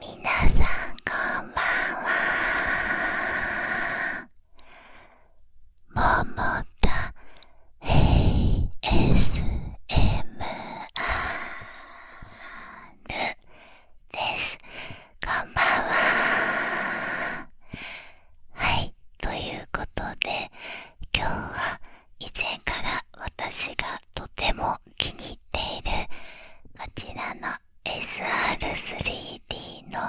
みなさんこんばんはももた ASMR ですこんばんははいということで今日は以前から私がとても気に入っているこちらの SR3D の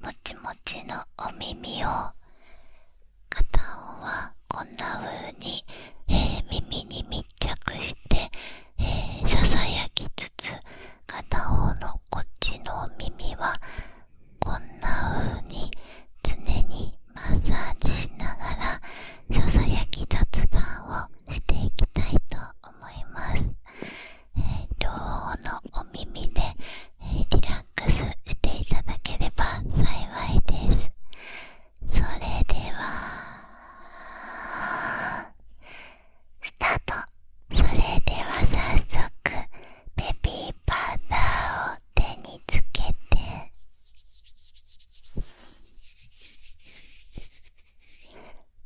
もちもちのお耳を片方はこんな風に、え耳に密着して、えー、ささやきつつ片方のこっちのお耳はこんな風に常にマッサージしながらささやき雑談をしていきたいと思います、えー、両のお耳で、えリラックスしていただければ幸いですそれではスタートそれでは早速ベビーパウダーを手につけて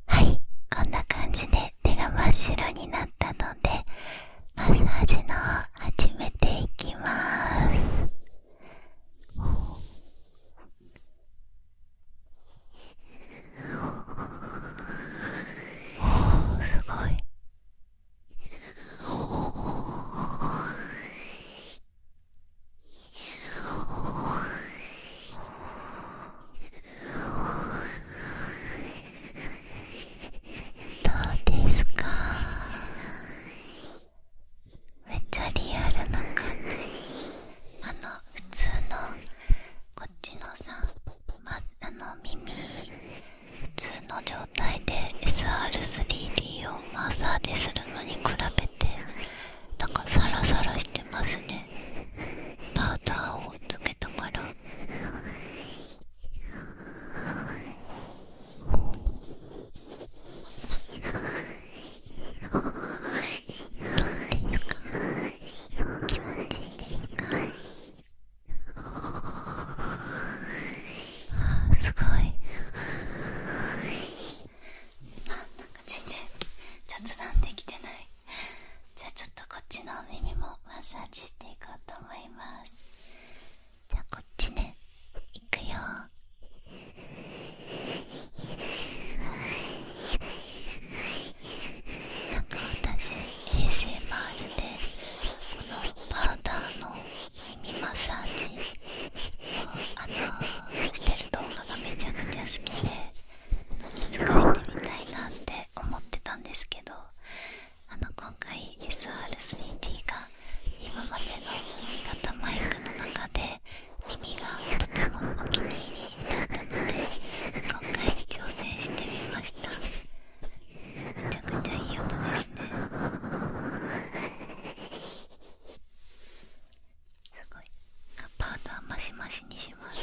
はいこんな感じで手が真っ白になったのでマッサージのを始めていきまーす。おすごいどうですかめっちゃリアルな感じあの普通のこっちのさ、ま、あの耳普通の状態で SR3D をマッサーでするのに比べてなんかサラサラしてますねパウダーをつけたからどうですか気持ちいいですかあすごいあなんか全然雑談できてないじゃあちょっとこっちのお耳もマッサージしていこうと思いますじゃあこっちねいくよなんか私 ASMR でこのパウダーの耳マッサージをあのしてる動画がめちゃくちゃ好きでかしてみたいなって思ってたんですけどあの今回 SR3D が今までの型マイクの中で耳がとてもお気に入りだったので今回挑戦してみましためちゃくちゃいい音ですねすごいカッパートはマシマシにします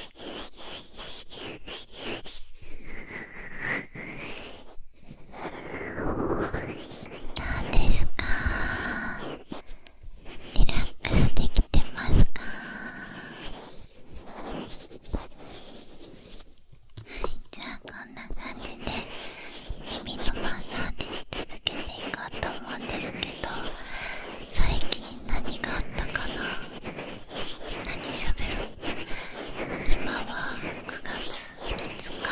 どうですかリラックスできてますかはいじゃあこんな感じで耳のマッサージ続けていこうと思うんですけど最近何があったかな何しゃべる今は9月5日だ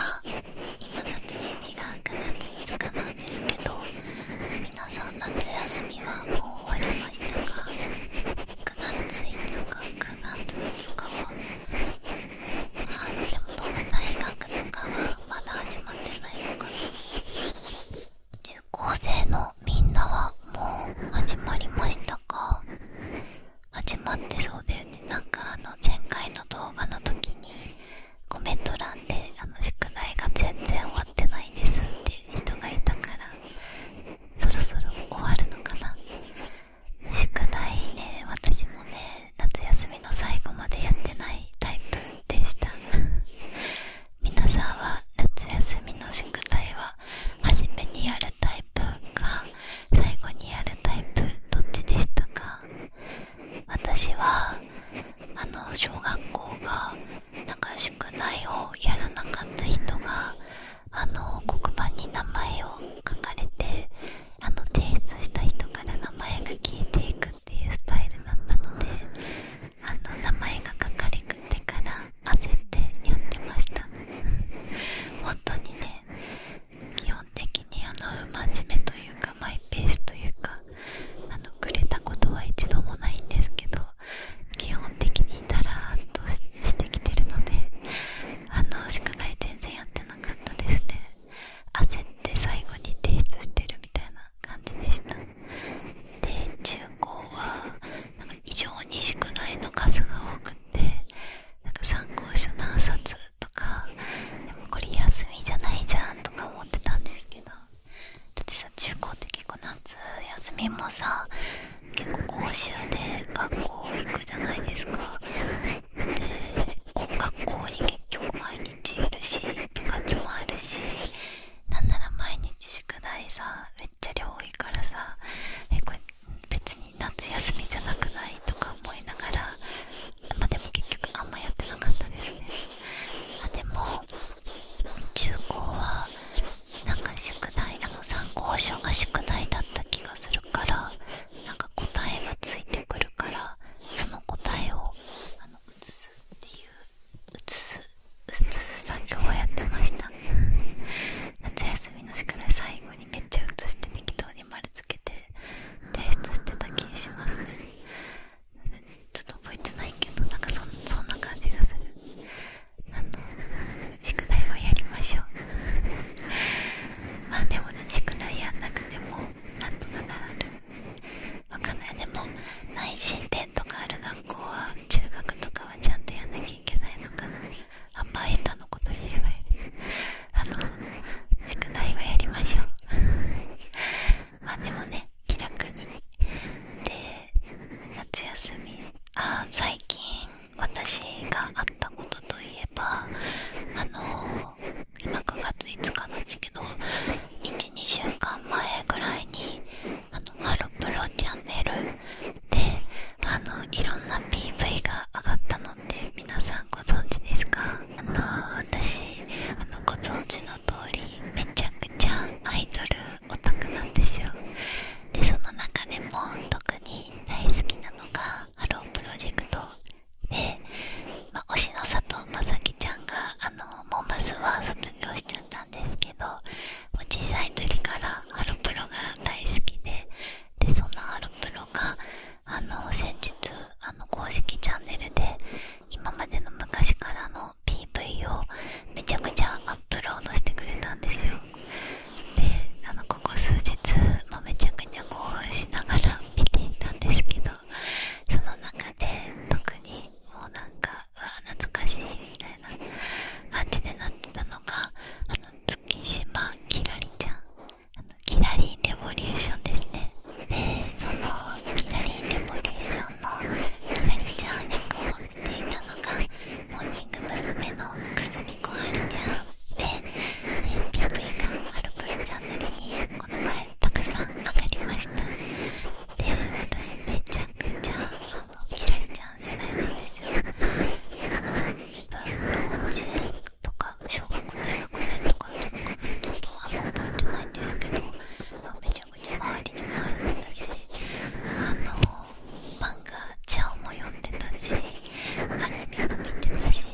撮影日が9月5日なんですけど皆さん夏休みはもう終わりましたか9月5日9月5日はあでもどんな大学とかはまだ始まってないのかな中高生のみんなはもう始まりましたか始まってそうだよねなんかあの前回の動画の時にコメント欄であの宿題が全然終わってないですっていう人がいたからそろそろ終わるのかな宿題ね私もね夏休みの最後までやってないタイプでした皆さんは夏休みの宿題は初めにやるタイプか最後にやるタイプどっちでしたか私はあの小学校がな宿題をやらなかった人があの黒板に名前を書かれてあの提出した人から名前が消えていくっていうスタイルだったのであの名前がかかりてから焦ってやってました、ん、本当にね基本的にあの真面目というかマイペースというかあのくれたことは一度もないんですけど基本的にダラーっとしてきてるのであの宿題全然やってなかったですね焦って最後に提出してるみたいな感じでしたで中高はなんか異常に宿題の数が多くてなんか参考書何冊とかでもこれ休みじゃないじゃんとか思ってたんですけどだってさ中高って結構夏休みもさ結構講習で学校行くじゃないですか。で学校に結局毎日いるし部活もあるしなんなら毎日宿題さめっちゃ量多いからさえこれ別に夏休みじゃなくないとか思いながらまでも結局あんまやってなかったですねあでも中高はなんか宿題あの参考書が宿題だった気がするからなんか答えがついてくるからその答えを映すっていう映す映す作業をやってました夏休みの宿題最後にめっちゃ映して適当に丸つけて提出してた気しますねちょっと覚えてないけどなんかそんな感じがするあの宿題はやりましょうまあでもね宿題やんなくてもなんとかなるわかんないでも内申点とかある学校は中学とかはちゃんとやんなきゃいけないのかなあんまエタのこと言えないですあの宿題はやりましょう まあでもね気楽にで夏休みああ、最近私があったことといえばあの今9月5日なんですけど2週間前ぐらいにあのハロプロチャンネルであのいろんな PV が上がったのって皆さんご存知ですかあの私あのご存知の通りめちゃくちゃアイドルオタクなんですよでその中でも特に大好きなのがハロープロジェクトで、まあ、推しの佐藤正樹ちゃんがあのモンバズは卒業しちんですけど小さい時からアロプロが大好きででそのアロプロがあの先日あの公式チャンネルで今までの昔からの PV をめちゃくちゃアップロードしてくれたんですよであのここ数日、まめちゃくちゃ興奮しながら見ていたんですけどその中で特にもうなんかうわ懐かしいみたいな感じでなってたのがあの月島きらりちゃんあのキラリンレボリューションですねでそのきらりレボリューションのきらりちゃん役をしていたのがモーニング娘。のくすみこはるちゃんで PV がハロプロチャンネルにこの前たくさん上がりましたで私めちゃくちゃあの切られちゃん世代なんですよ自分幼稚園とか小学校大学年とかちょっとあんま覚えてないんですけどめちゃくちゃ周りにも入ってたしあの漫画ちゃんも読んでたしアニメも見てたし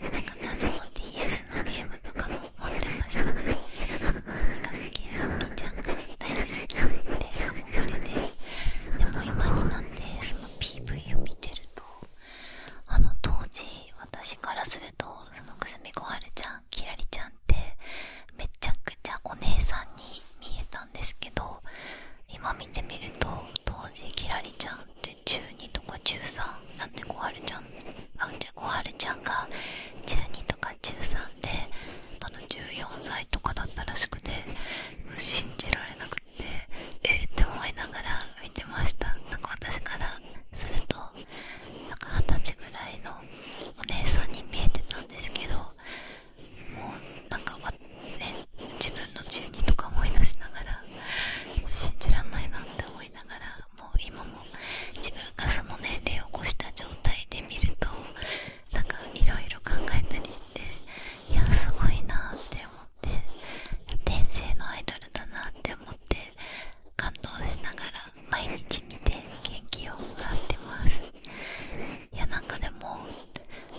なんか謎の DS のゲームとかも思ってましたとにかくキラーちゃんが大好きで憧れででも今になってその PV を見てるとあの当時私からするとそのくすみこはちゃんきらりちゃんってめちゃくちゃお姉さんに見えたんですけど今見てみると当時きらりちゃんって中2とか中3だってこちゃんあうち小春ちゃんが12とか13であの14歳とかだったらしくてもう信じられなくてえって思いながら見てましたなんか私からするとなんか二十歳ぐらいのお姉さんに見えてたんですけどもうなんかね自分の12とか思い出しながら信じらんないなって思いながらもう今も自分がその年齢を越した状態で見るとなんかいろいろ考えたりしていやすごいなって思って天性のアイドルだなって思って感動しながら毎日見て元気をもらってますいやなんかでも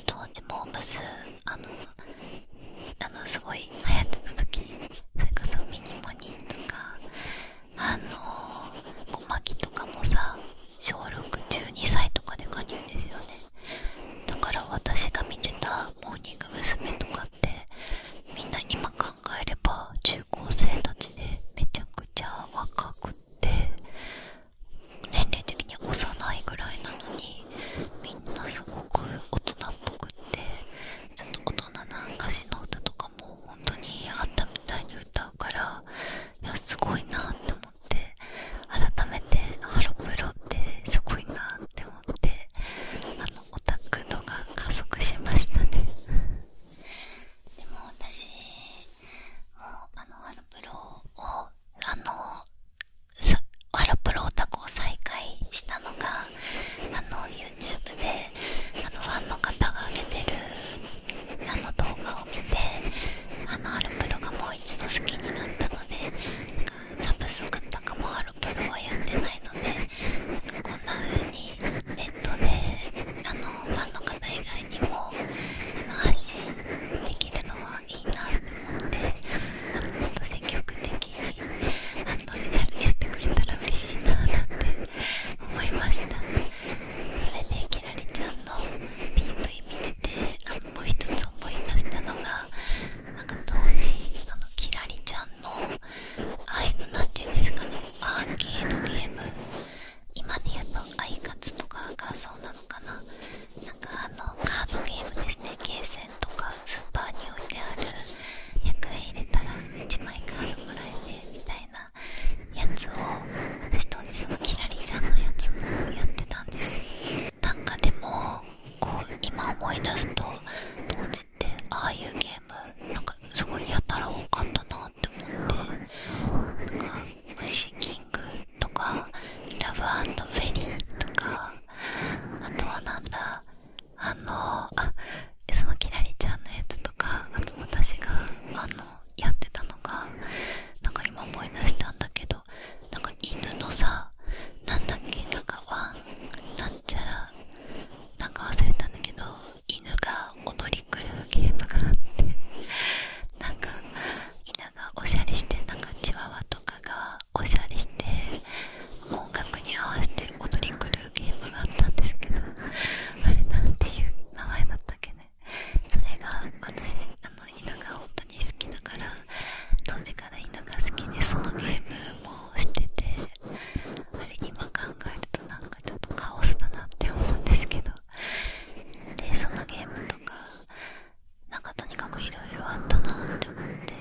当時もームスあのあのすごい流行ってた時それこそミニモニとかあの小牧とかもさ小612歳とかで加入ですよねだから私が見てたモーニング娘。とかってみんな今考えれば中高生たちでめちゃくちゃ若くって年齢的に幼いぐらいなのにみんなすごく大人っぽくってちょっと大人な歌詞の歌とかも本当にあったみたいに歌からいやすごいなって思って改めてハロプロってすごいなって思ってあのオタク度が加速しましたねでも私もあのハロプロをあのハロプロオタクを再開したのがあの y o u t u YouTube であのファンの方が上げてるあの動画を見てあのアルプロがもう一度好きになったのでサブスクとかもあるプロはやってないのでこんな風にネットであのファンの方以外にも安心できるのはいいなと思ってもっと積極的にあのやってくれたら嬉しいななんて思いましたそれできらりちゃんの PV 見ててあのもう一つ思い出したのがなんか当時あのきらりちゃんのあいなんていうんですかねアーケードゲーム今で言うとアイカツとかがそうなのかななんかあのカードゲームですねゲーセンとかスーパーに置いてある100円入れたら1枚カードもらえてみたいなやつを私当日のキラリちゃんのやつもやってたんですなんかでもこう今思い出すと当時ってああいうゲームなんかすごいやたら多かったなって思ってなんか虫キングとかラブフェリーとかあとはなんだあのあそのきらりちゃんのやつとかあと私があのやってたのがなんか今思い出したんだけどなんか犬のさ何だっけなかワンなんちゃらなんか忘れたんだけど犬が踊り狂うゲームがあってなんか犬がおしゃれしてなんかチワワとかがおしゃれして音楽に合わせて踊り狂うゲームがあったんですけどあれなんていう名前だったっけねそれが私あの犬が本当に好きだから当時から犬が好きでそのゲームもしててあれ今考えるとなんかちょっとカオスだなって思うんですけどでそのゲームとかなんかとにかくいろいろあったなって思って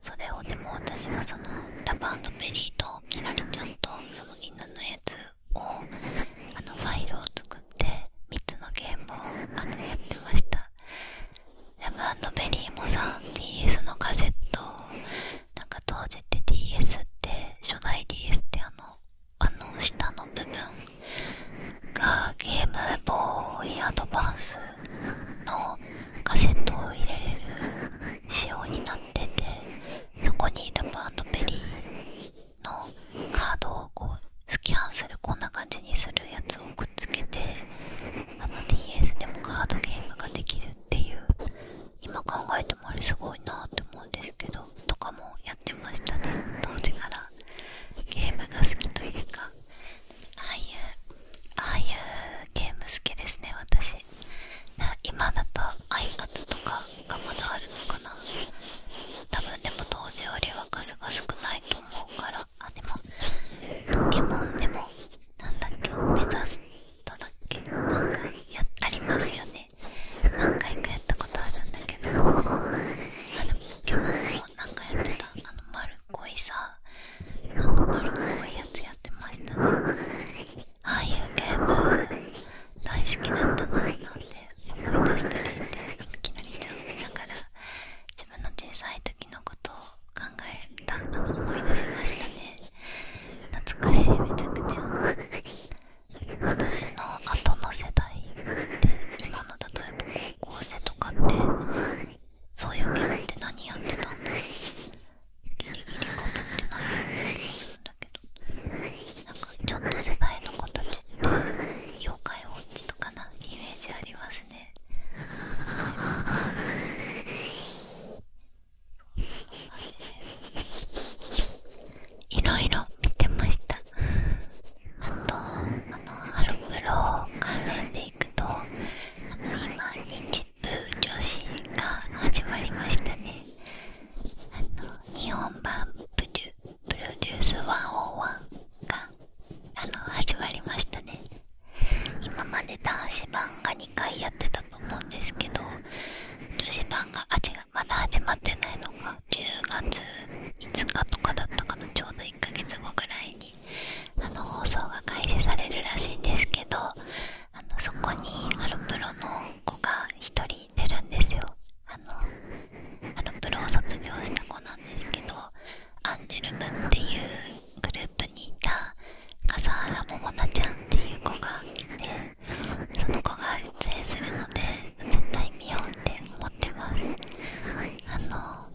それをでも私はそのラバーとベリーとキラリちゃんとその犬のやつをあのファイルを作って3つのゲームをあのやってましたラブベリーもさん DS のカセットなんか当時って DS って初代 DS ってあのあの下の部分がゲームボーイアドバンスのカセットを入れれる仕様になっってそこにいるバート・ペリーのカードをこうスキャンするこんな感じにするやつをくっつけてあの DS でもカードゲームができるっていう今考えてもあれすごいなって思うんですけどとかもやってましたね当時からゲームが好きというかああいうああいうゲーム好きですね私今だとアイカツとかがまだあるのかな多分でも当時よりは数が少ないと思うからあでもポケモンでもなんだっけ目指しただっけなんかやありますよね何回かやったことあるんだけどあのポケモンも何回やってたあの丸っこいさなんか丸っこいやつやってましたねああいうゲーム大好きだったななんて思い出したりしてきなりちゃんを見ながら自分の小さい時のことを考えたあの思い出しましたね懐かしいめちゃくちゃ私の後の世代って今の例えば高校生とかってそういうゲームって何やってたんだろうかぶってないようなするんだけどなんかちょっと世代の子たちって妖怪ウォッチとかなイメージありますねいろいろ見てましたあとあのハロプロ関連でいくと今ニンジップ女子が始まりましたねあの日本版プデュロデュース101があの始まりましたね今まで男子版が2回やってたと思うんですけど女子版があ違うまだ始まってないのが10月5日とかだったかなちょうど1ヶ月後ぐらいにあの放送が開始されるらしいんですけどあのそこにハロプロの子が1人てるんですよあのプロを卒業した子なんですけどアンジェルムっていうグループにいた笠原桃奈ちゃんっていう子がいてその子が出演するので絶対見ようって思ってますあの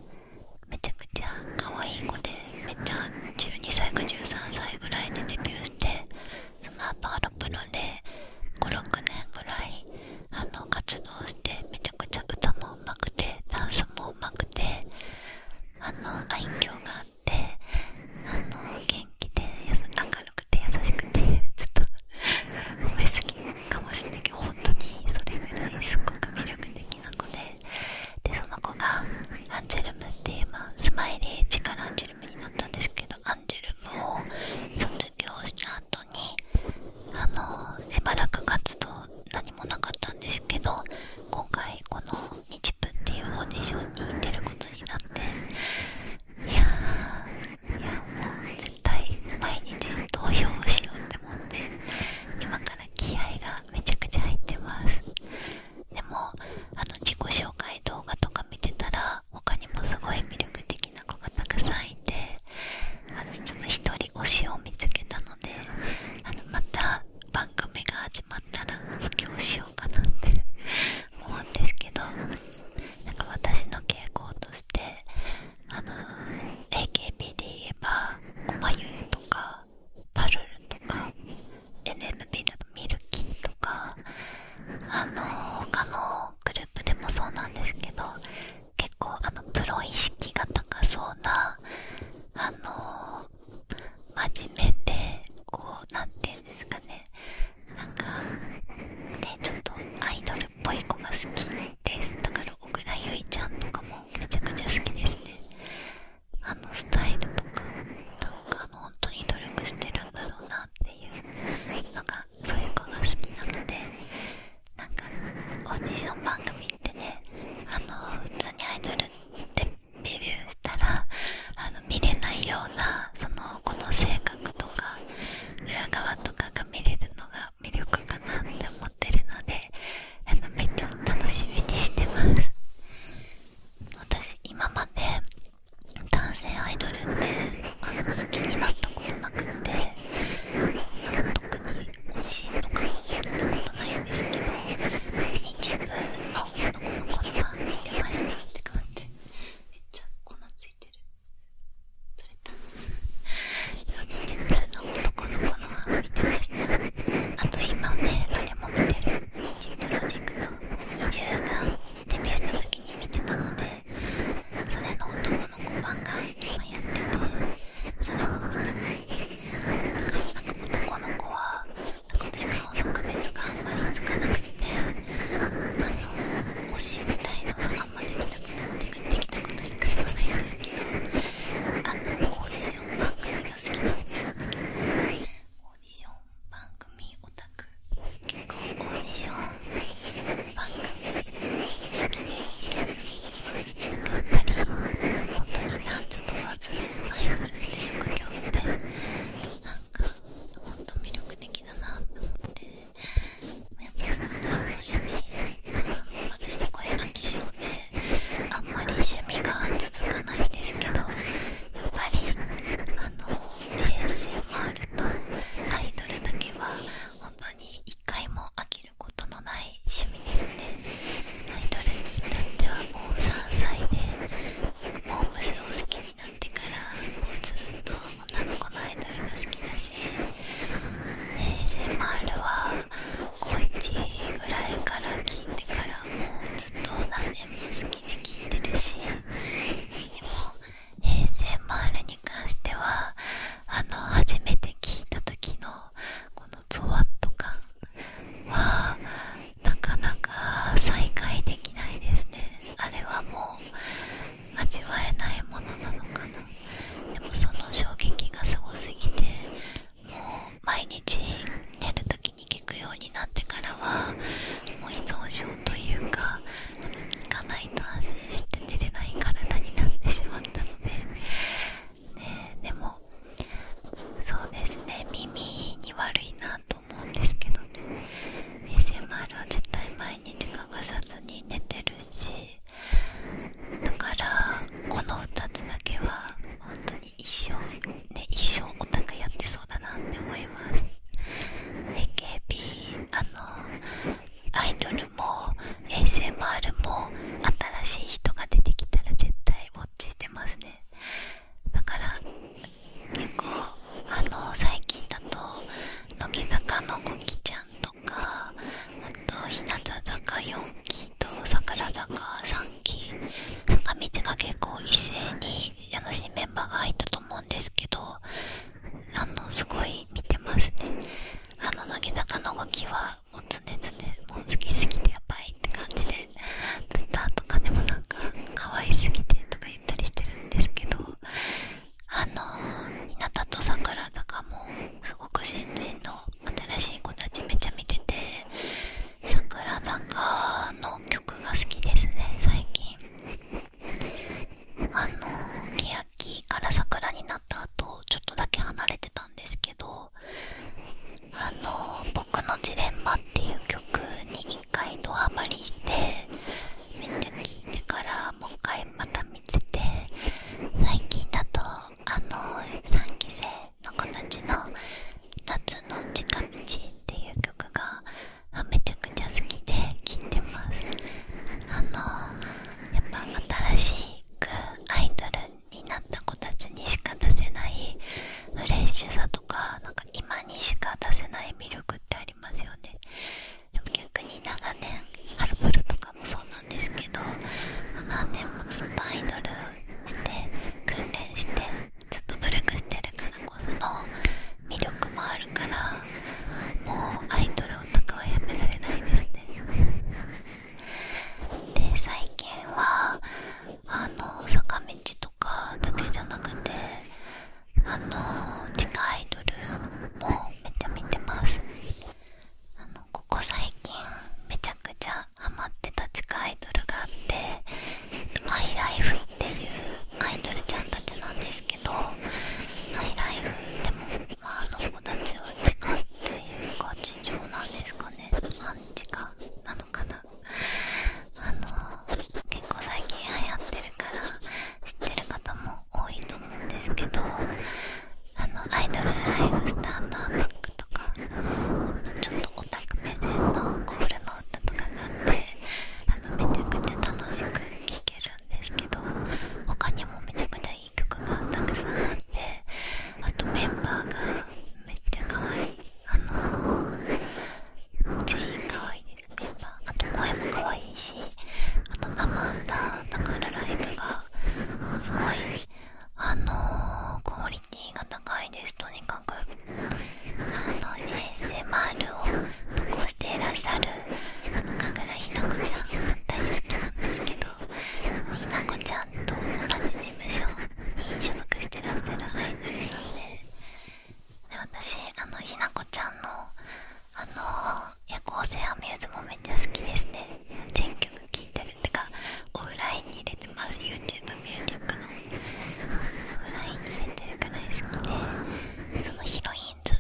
めちゃくちゃ可愛い子でめっちゃ12歳か13歳ぐらいでデビューしてその後ハロプロで56年ぐらいあの活動してめちゃくちゃ歌もうまくてダンスもうまくてあのょうがあってあの元気で明るくて優しくてちょっと褒めすぎかもしれないけど本当にそれぐらいすごく魅力的な子ででその子がアンジェルムっていう、まあ、スマイリーチカラアンジェルムになったんですけどンジェルムを卒業した後にあのしばらく活動何もなかったんですけど今回この日プっていうオーディションに出ることになっていやいやもう絶対毎日投票しようって思って今から気合がめちゃくちゃ入ってますでもあの自己紹介動画とか見てたら他にもすごい魅力的な子がたくさんいて私ちょっと一人推しを見つけたのであのまた番組が始まったら布教しようかなって 思うんですけどなんか私の傾向としてあの AKB で言えば「こまゆゆ」とか「パルル」とか NMB だミルキーとかあの他のグループでもそうなんですけど結構あのプロ意識が高そうなあの真面目でこう何て言うんですかねなんかねちょっとアイドルっぽい子が好きですだから小倉唯ちゃんとかもめちゃくちゃ好きですねあのスタイルとかなんか本当に努力してるんだろうなっていうのがそういう子が好きなのでなんかオーディション番組ってねあの普通にアイドルってデビューしたらあの見れないようなその子の性格とか裏側とかが見れるのが魅力かなって思ってるのであのめっちゃ楽しみにしてます。私今まで男性アイドルってあの好きになったことなくて特に欲しいとかやったことないんですけど一部の男の子のファン見てましたって感じめっちゃ粉ついてる取れた一部の男の子のファン見てましたあと今ね誰も見てるニンジプロジェクの20代デビューした時に見てたのでそれの男の子版が今やっててそれを見てなんか男の子はなんか私顔の区別があんまりつかなくてあの推しみたいのはあんまできたくなってできたくなるタイプがいいんですけどあのオーディション番組が好きなんですオーディション番組オタク結構オーディション番組でいろいろ頑張り本当に男女問わずアイドルって職業ってなんかほんと魅力的だなと思ってやっぱり私の趣味私そこへ飽性であんまり趣味が続かないんですけどやっぱりあの ASMR とアイドルだけは本当に一回も飽きることのない趣味ですねアイドルに至ってはもう3歳でモームスを好きになってからもうずっと女の子のアイドルが好きだし ASMR は高1ぐらいから聞いてからもうずっと全部好きで聴いてるしでも ASMR に関してはあの初めて聴いた時のこのゾワッと感はなかなか再会できないですねあれはもう味えないものなのかなでもその衝撃がすごすぎてもう毎日寝る時に行くようになってからはもう依存症というか行かないと安心して寝れない体になってしまったので、ね、でもそうですね耳に悪いなと思うんですけどね ASMR は絶対毎日欠かさずに寝てるしだからこの2つだけは本当に一生ね一生お高やってそうだなって思います AKB あのアイドルも ASMR も新しい人が出てきたら絶対ウォッチしてますねだから結構あの最近だと乃木坂のこきちゃんとかあと日向坂4期と桜坂3期なんか見てが結構一斉にあの新メンバーが入ったと思うんですけどあのすごい見てますねあの乃木坂の動きはもう常々もう好きすぎてやばいって感じで Twitter とかでもなんか可愛すぎてとか言ったりしてるんですけどあの日向と桜坂もすごく新人の新しい子たちめっちゃ見てて桜坂の曲が好きですね最近あの欅から桜になった後ちょっとだけ離れてたんですけど「あの僕のジレンマ」っていう曲に一回ドハマりしてめっちゃ聴いてからもう一回また見てて最近だとあの3期生の子たちの「夏の近道」っていう曲がめちゃくちゃ好きで聴いてますあのやっぱ新しくアイドルになった子たちにしか出せないフレッシュさとかなんか今にしか出せない魅力ってありますよねでも逆に長年ハルブルとかもそうなんですけど何年もずっとアイドルして訓練してちょっと努力してるからこその魅力もあるからもうアイドルオタクはやめられないですねで最近はあの坂道とかだけじゃなくてあの地下アイドルもめっちゃ見てますあのここ最近めちゃくちゃハマってた地下アイドルがあってハイライフっていうアイドルちゃんたちなんですけどハイライフでもまああの子たちは地下というか地上なんですかね半地下なのかなあの結構最近流行ってるから知ってる方も多いと思うんですけどあのアイドルライフスターターマックとかちょっとオタク目線のコールのあのめちゃくちゃ楽しく聴けるんですけど他にもめちゃくちゃいい曲がたくさんあってあとメンバーがめっちゃ可愛いあの全員可愛いですメンバーあと声も可愛いしあと生歌だからライブがすごいあのクオリティが高いですとにかくあの ASMR を投稿していらっしゃる神楽ひなこちゃん大好きなんですけどひなこちゃんと同じ事務所に所属してらっしゃるアイドルさんでで私あのひなこちゃんのあの夜行性アミューズもめっちゃ好きですね全曲聴いてるってかオフラインに入れてます YouTube ミュージックのラインに出てるくらい好きでそのヒロインズっ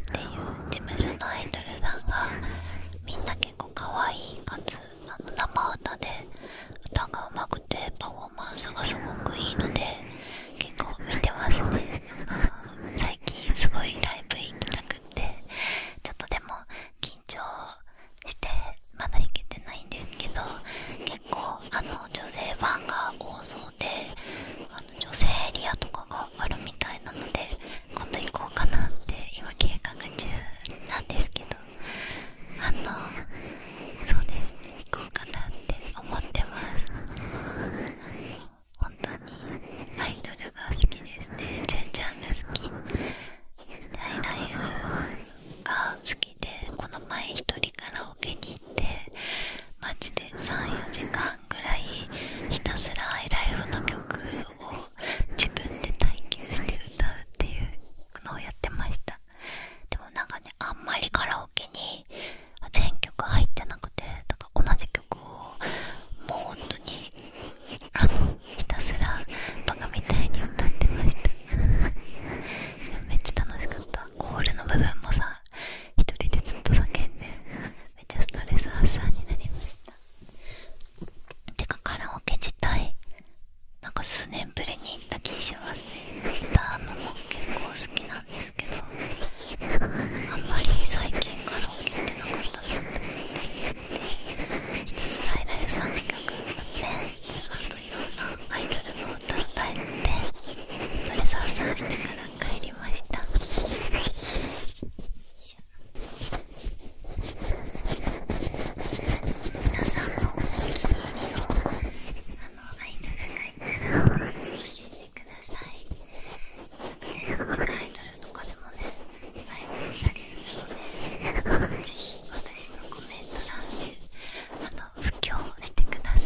ていう事務所のアイドルさんがみんな結構可愛いかつあの生歌で歌がうまくてパフォーマンスがすごくいいので結構見てますね最近すごいライブ行きたくってちょっとでも緊張してまだ行けてないんですけど結構あの女性ファンが多そうであの女性エリアとかがあるみたいなので今度行こうかなって今計画中なんですけどあのそうです行こうかなって思ってます本当にアイドルが好きですね全ちゃんが好きハイライフが好きでこの前一人カラオケに行マジで34時間ぐらいひたすらアイライフの曲を自分で耐久して歌うっていうのをやってましたでもなんかねあんまりカラオケに全曲入ってなくてだか同じ曲をもう本当にあのひたすらバカみたいに歌ってました めっちゃ楽しかったコールの部分もさ一人でずっと叫んで めっちゃストレス発散になりましたてかカラオケ自体なんか数年ぶりに行った気しますねギターのも結構好きなんですけどあんまり最近カラオケ行ってなかったなって思ってひたすらイラ曲歌ってあと色んなアイドルの歌歌えてそれさあさあしてから帰りました皆さんもあのアイドルがら教えてください全然アイドルとかでもねライブしたりするのでぜひ私のコメント欄であの布教してください。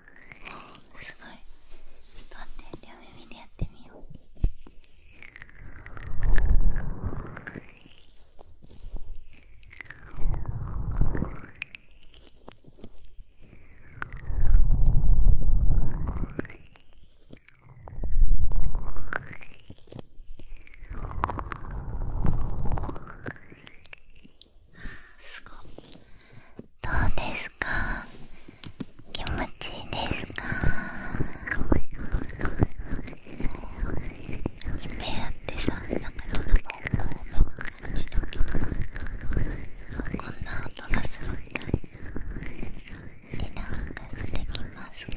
すごい待って両耳でやってみようすごいどうですか気持ちいいですか夢やってさなんかちょうめの感じだけどこんな音がするんだリラックスできますか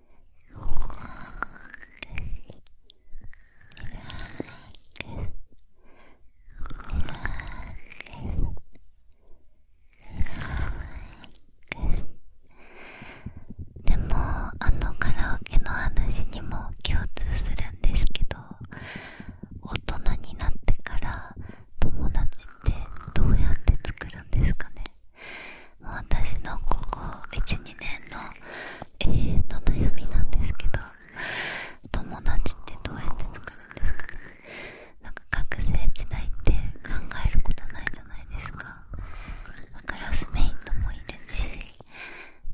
でもあのカラオケの話にも共通するんですけど大人になってから友達ってどうやって作るんですかね私のここ12年の永遠の悩みなんですけど友達ってどうやって作るんですかなんか学生時代って考えることないじゃないですかクラスメイトもいるし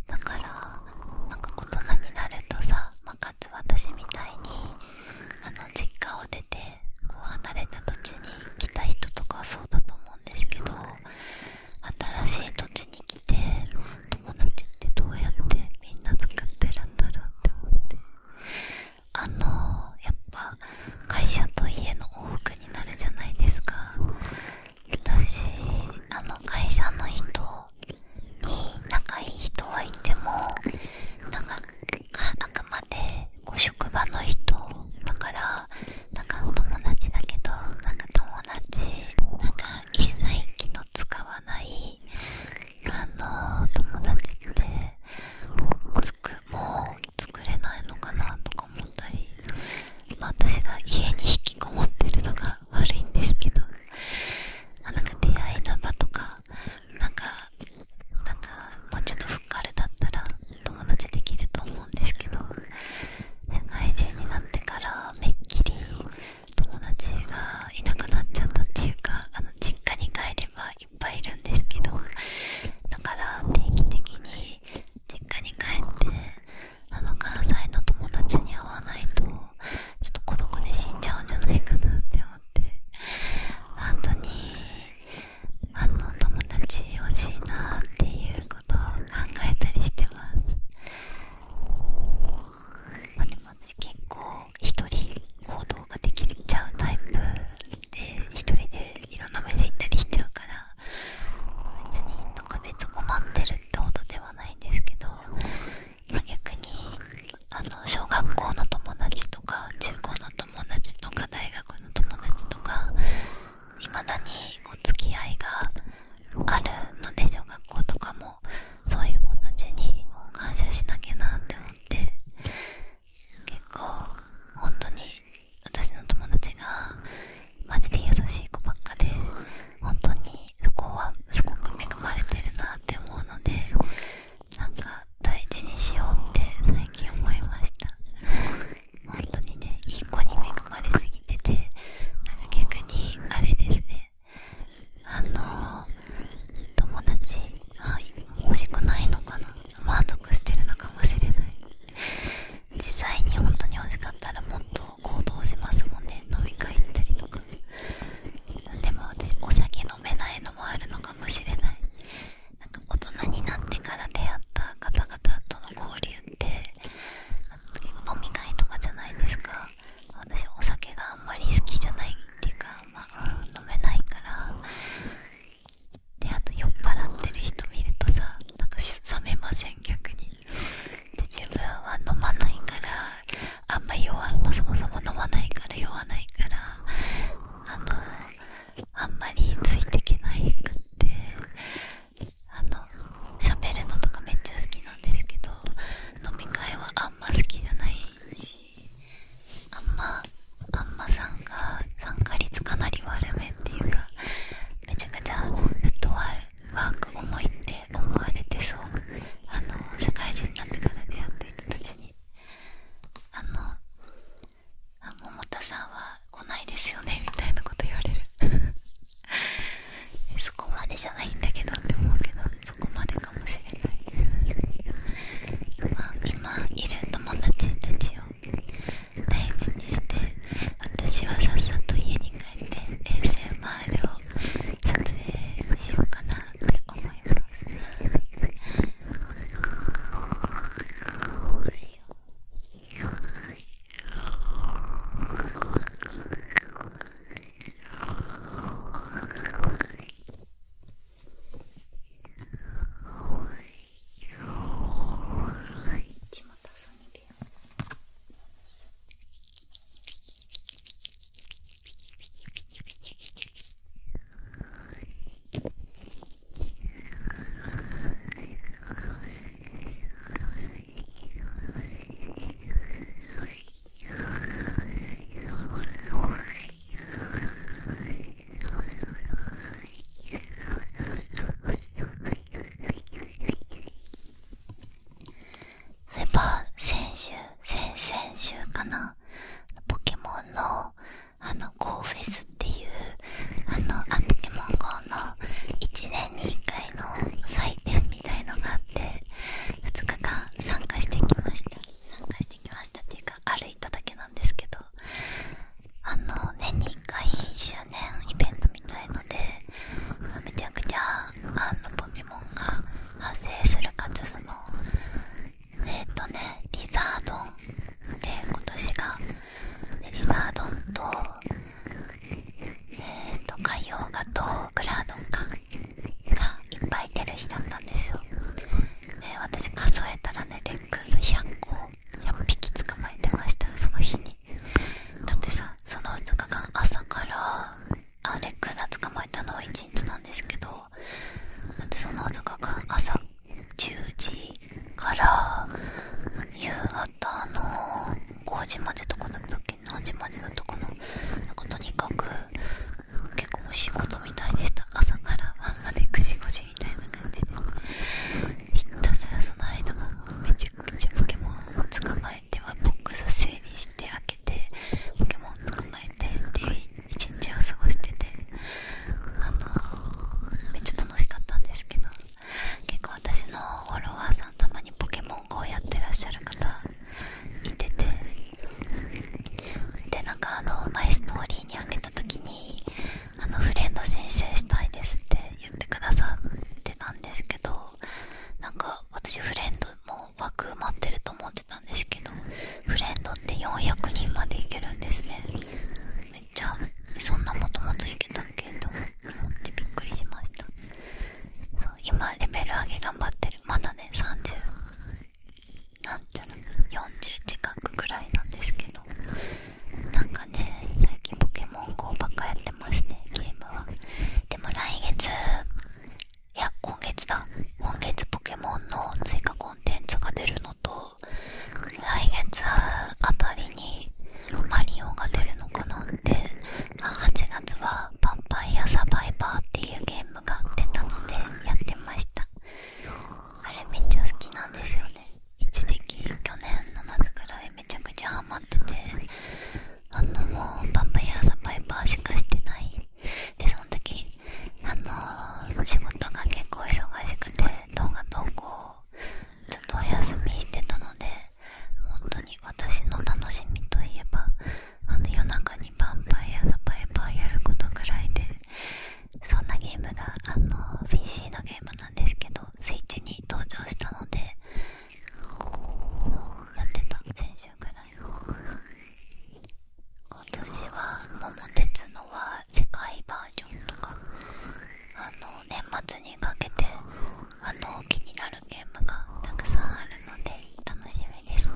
だからなんか大人になるとさ、まかつ私みたいにあの実家を出てこう離れた土地に行きたい人とかそうだと思ですけど新しい土地に来て友達ってどうやってみんな作ってるんだろうって思ってあのやっぱ会社と家の往復になるじゃないですか私あの会社の人に仲いい人はいてもでこ職場の人だからなんかお友達だけどなんか友達なんか一使わないあの友達ってもう作れないのかなとか思ったり、まあ、私が家に引きこもってるのが悪いんですけど、あ、なんか出会いの場とかなんかなんかもうちょっと彼だったら友達できると思うんですけど社会人になってからめっきり友達がいなくなっちゃったっていうかあの実家に帰ればいっぱいいるんですけどだから定期的に実家に帰ってあの関西の友達に会わないとちょっと孤独で死んじゃうんじゃないかなって思って本当にあの友達欲しいなっていうことを考えたりしてますでも私結構一人行動ができちゃうタイプで一人でいろんな目で行ったりしちゃうから別になんか別困ってるってことではないんですけど、まあ、逆にあの小学校の友達とか中高の友達とか大学の友達とかいまだにこう付き合いがあるので小学校とかもそういう子たちに感謝しなきゃなって思って結構本当に私の友達がマジで優しい子ばっかで本当にそこはすごく恵まれてるなって思うのでなんか大事にしようって最近思いました本当にねいい子に恵まれすぎててなんか逆にあれですねあの友達はい欲しくないのかな満足してるのかもしれない実際に本当に欲しかったらもっと行動しますもんね飲み会行ったりとかでも私お酒飲めないのもあるのかもしれない大人になってから出会った方々との交流って飲み会とかじゃないですか私お酒があんまり好きじゃないっていうか、ま飲めないからであと酔っ払ってる人見るとさなんか冷めません逆にで自分は飲まないからあんまり弱いもそもそも飲まないから酔わないからあのあんまりついてけないくってあの喋るのとかめっちゃ好きなんですけど飲み会はあんま好きじゃないしあんまあんまさんが参加率かなり悪めっていうかめちゃくちゃフットワーク重いって思われてそうあの社会人になってから出会った人たちにあのあ「桃田さんは来ないですよね」みたいなこと言われる そこまでじゃないんだけどって思うけどそこまでかもしれないま今いる友達たちを大事にして私はさっさと家に帰って衛星回るを撮影しようかなって思いますよち地元ソニビア。そういえ先先々週かなポケモンのあの GO フェスっていうあのあポケモン GO の1年に1回の祭典みたいのがあって2日間参加してきました参加してきましたっていうか歩いただけなんですけどあの年に1回周年イベントみたいのでめちゃくちゃあのポケモンが発生するかつそのえっ、とねリザードンっ今年がリザードンとえっ、ー、と海洋画とグラードンかがいっぱい出る日だったんですよで私数えたらねレックス100個100匹捕まえてましたその日にだってさその2日間朝からあレックザ捕まえたのは1日なんですけどだってその2日間朝10時から夕方の5時までとかだったっけ何時までのとこのなんかとにかく結構仕事みたいでした朝から晩まで9時5時みたいな感じでひたすらその間もめちゃくちゃポケモンを捕まえてはボックス整理して開けてポケモン捕まえてっていう一日を過ごしててあのめっちゃ楽しかったんですけど結構私のフォロワーさんたまにポケモン GO やってらっしゃる方いててでなんかあのマイストーリーにあげた時にあのフレンド申請したいですって言ってくださってたんですけどなんか私フレンドも枠埋まってると思ってたんですけどフレンドって400人までいけるんですねめっちそんなもともといけたっけと思ってびっくりしました今レベル上げ頑張ってるまだね30なんちゃら40近くぐらいなんですけどなんかね最近ポケモン GO ばっかやってますねゲームはでも来月いや今月だ今月ポケモンの追加コンテンツが出ると来月あたりにマリオが出るのかなって8月は「パンパイアサバイバー」っていうゲームが出たのでやってましたあれめっちゃ好きなんですよね一時期去年の夏ぐらいめちゃくちゃハマっててあのもう「パンパイアサバイバー」しかしてないでその時あの仕事が結構忙しくて動画投稿ちょっとお休みしてたので本当に私の楽しみといえばあの夜中にヴァンパイア・ザ・パイパーやることぐらいでそんなゲームがあの PC のゲームなんですけどスイッチに登場したのでやってた先週ぐらい今年は「桃鉄」のは世界バージョンとかあの年末にかけてあの気になるゲームがたくさんあるので楽しみですね。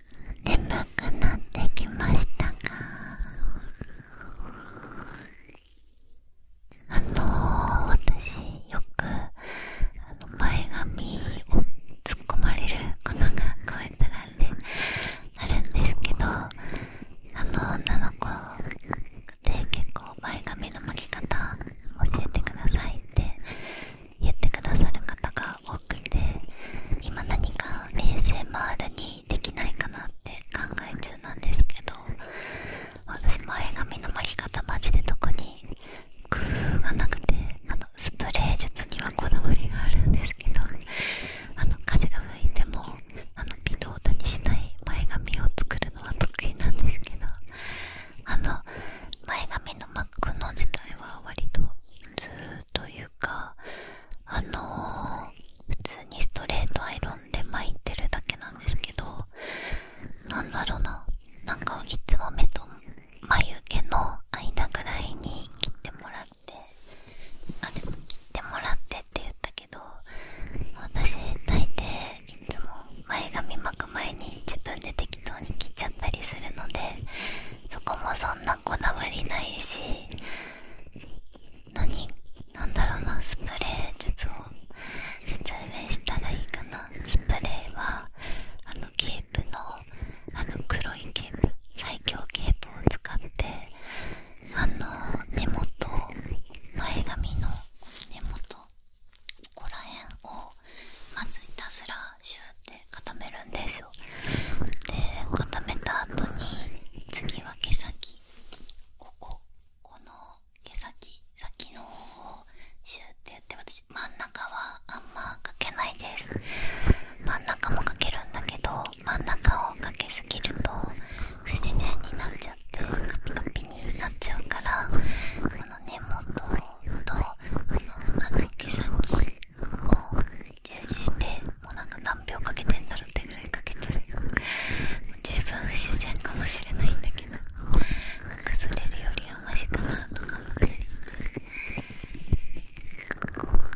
眠くなってきましたかあの私よくあの前髪を突っ込まれる粉がこうやったらねあるんですけどあの女の子で結構前髪の巻き方教えてくださいって言ってくださる方が多くて今何か a s 回るにできないかなって考え中なんですけど私前髪の巻き方マジで特に工夫がなくてあのスプレー術にはこだわりがあるんですけどあの風が吹いてもあの微動だにしない前髪を作るのは得意なんですけどあの前髪の巻くの自体は割とずっとゆっいあの普通にストレートアイロンで巻いてるだけなんですけどなんだろうななんかいつも目と眉毛の間ぐらいに切ってもらってあでも切ってもらってって言ったけど私大抵いつも前髪巻く前に自分で適当に切っちゃったりするのでそこもそんなな粉まりないし何なんだろうなスプレー術を説明したらいいかなスプレーはあのケープのあの黒いケープ最強ケープを使ってあの根元前髪の根元ここら辺をまずいたずらシュって固めるんですよで固めた後に次は毛先こここの毛先先の方をシューってやって私真ん中はあんまかけないです真ん中もかけるんだけど真ん中をかけすぎると不自然になっちゃってカピカピになっちゃうからこの根元とこのあの毛先を重視してもうなんか何秒かけてんだろうってぐらいかけてる十分不自然かもしれないんだけど崩れるよりはマシかなとか思ったりしてあとは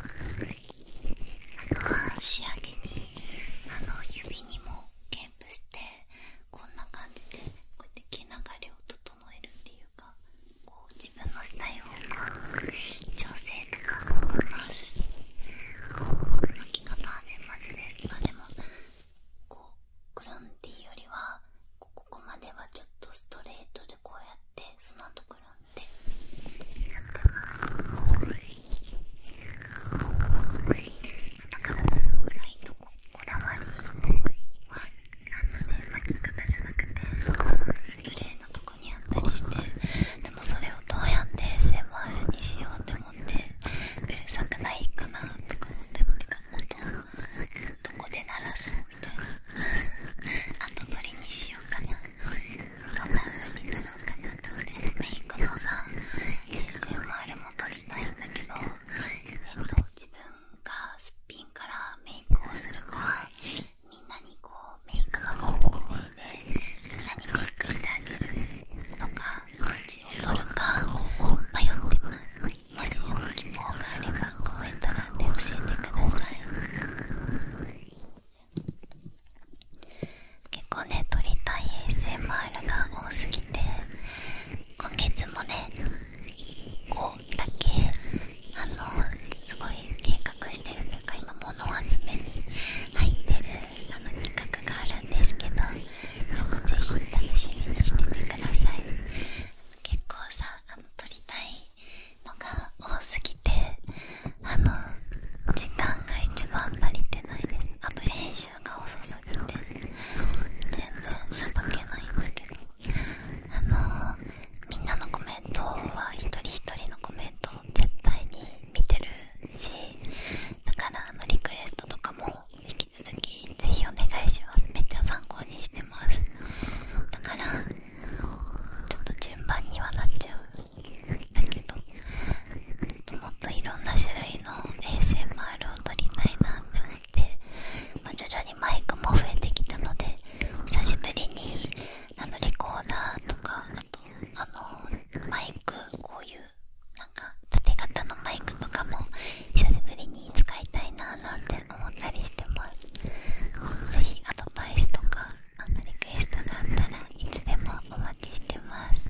仕上げにあの指にもケープしてこんな感じでこうやって毛流れを整えるっていういこう自分のしたい方が、調整とかもできます巻き方はねマジでまあでもこうクランティーよりはここまではちょっとストレートでこうやってその後くランってやってますだからぐらいとこだわりはあのね巻き方じゃなくて。グレのとこにあったりしてでもそれをどうやって SMR にしようって思ってうるさくないかなとか思ってもどこで鳴らすのみたいな後取りにしようかなどんな風に撮ろうかなと思っメイクのさ SMR も撮りたいんだけどえっと自分がすっぴんからメイクをするかみんなにこうメイクが多いでみんなにメイクしてあげるのかどっを取るか迷ってますもし希望があればコメント欄で教えてください結構ね撮りたい ASMR が多すぎて今月もねこだけあのすごい計画してるというか今物集めに入ってるあの企画があるんですけどあの楽しみにしててください結構さあの撮りたいのが多すぎてあの時間が一番足りてないですあと編集が遅すぎて全然さばけないんだけど。あのみんなのコメントは一人一人のコメントを絶対に見てるしだからあのリクエストとかも引き続きぜひお願いしますめっちゃ参考にしてますだからちょっと順番にはなっちゃうんだけどもっといろんな種類の ASMR を撮りたいなって思って、ま徐々にマイクも増えてきたので久しぶりにあのレコーダーとかあとあのマイクこういうなんか縦型のマイクとかも久しぶりに使いたいななんて思ったりしてますぜひアドバイスとかあのリクエストがあったらいつでもお待ちしてます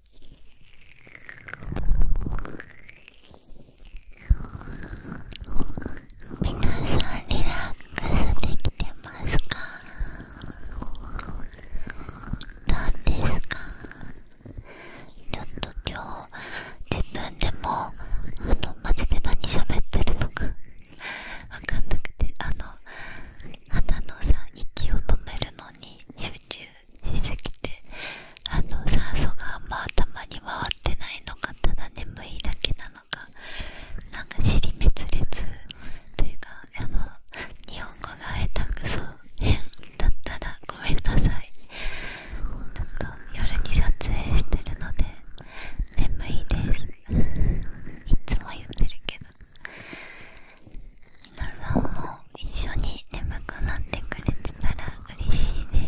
皆さんリラックスできてますかどうですかちょっと今日自分でもあのマジで何喋ってるのか分かんなくてあの鼻のさ息を止めるのに集中実績ってあの酸素があんま頭に回ってないのかただ眠いだけなのかなんか尻滅裂というかあの日本語がえたくそ変だったらごめんなさいちょっと夜に撮影してるので眠いですいつも言ってるけど皆さんも一緒に眠くなってくれてたら嬉しいです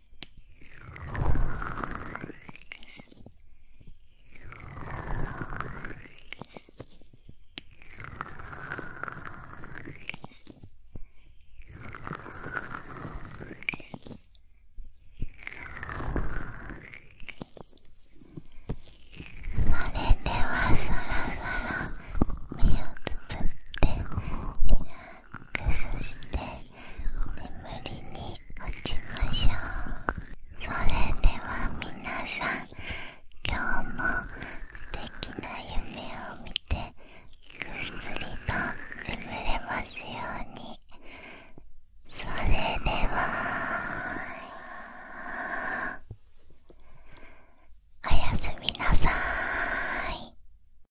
それではそろそろ目をつぶってリラッそして眠りに落ちましょうそれでは皆さん今日も素敵な夢を見てぐっすりと眠れますようにそれではおやすみなさい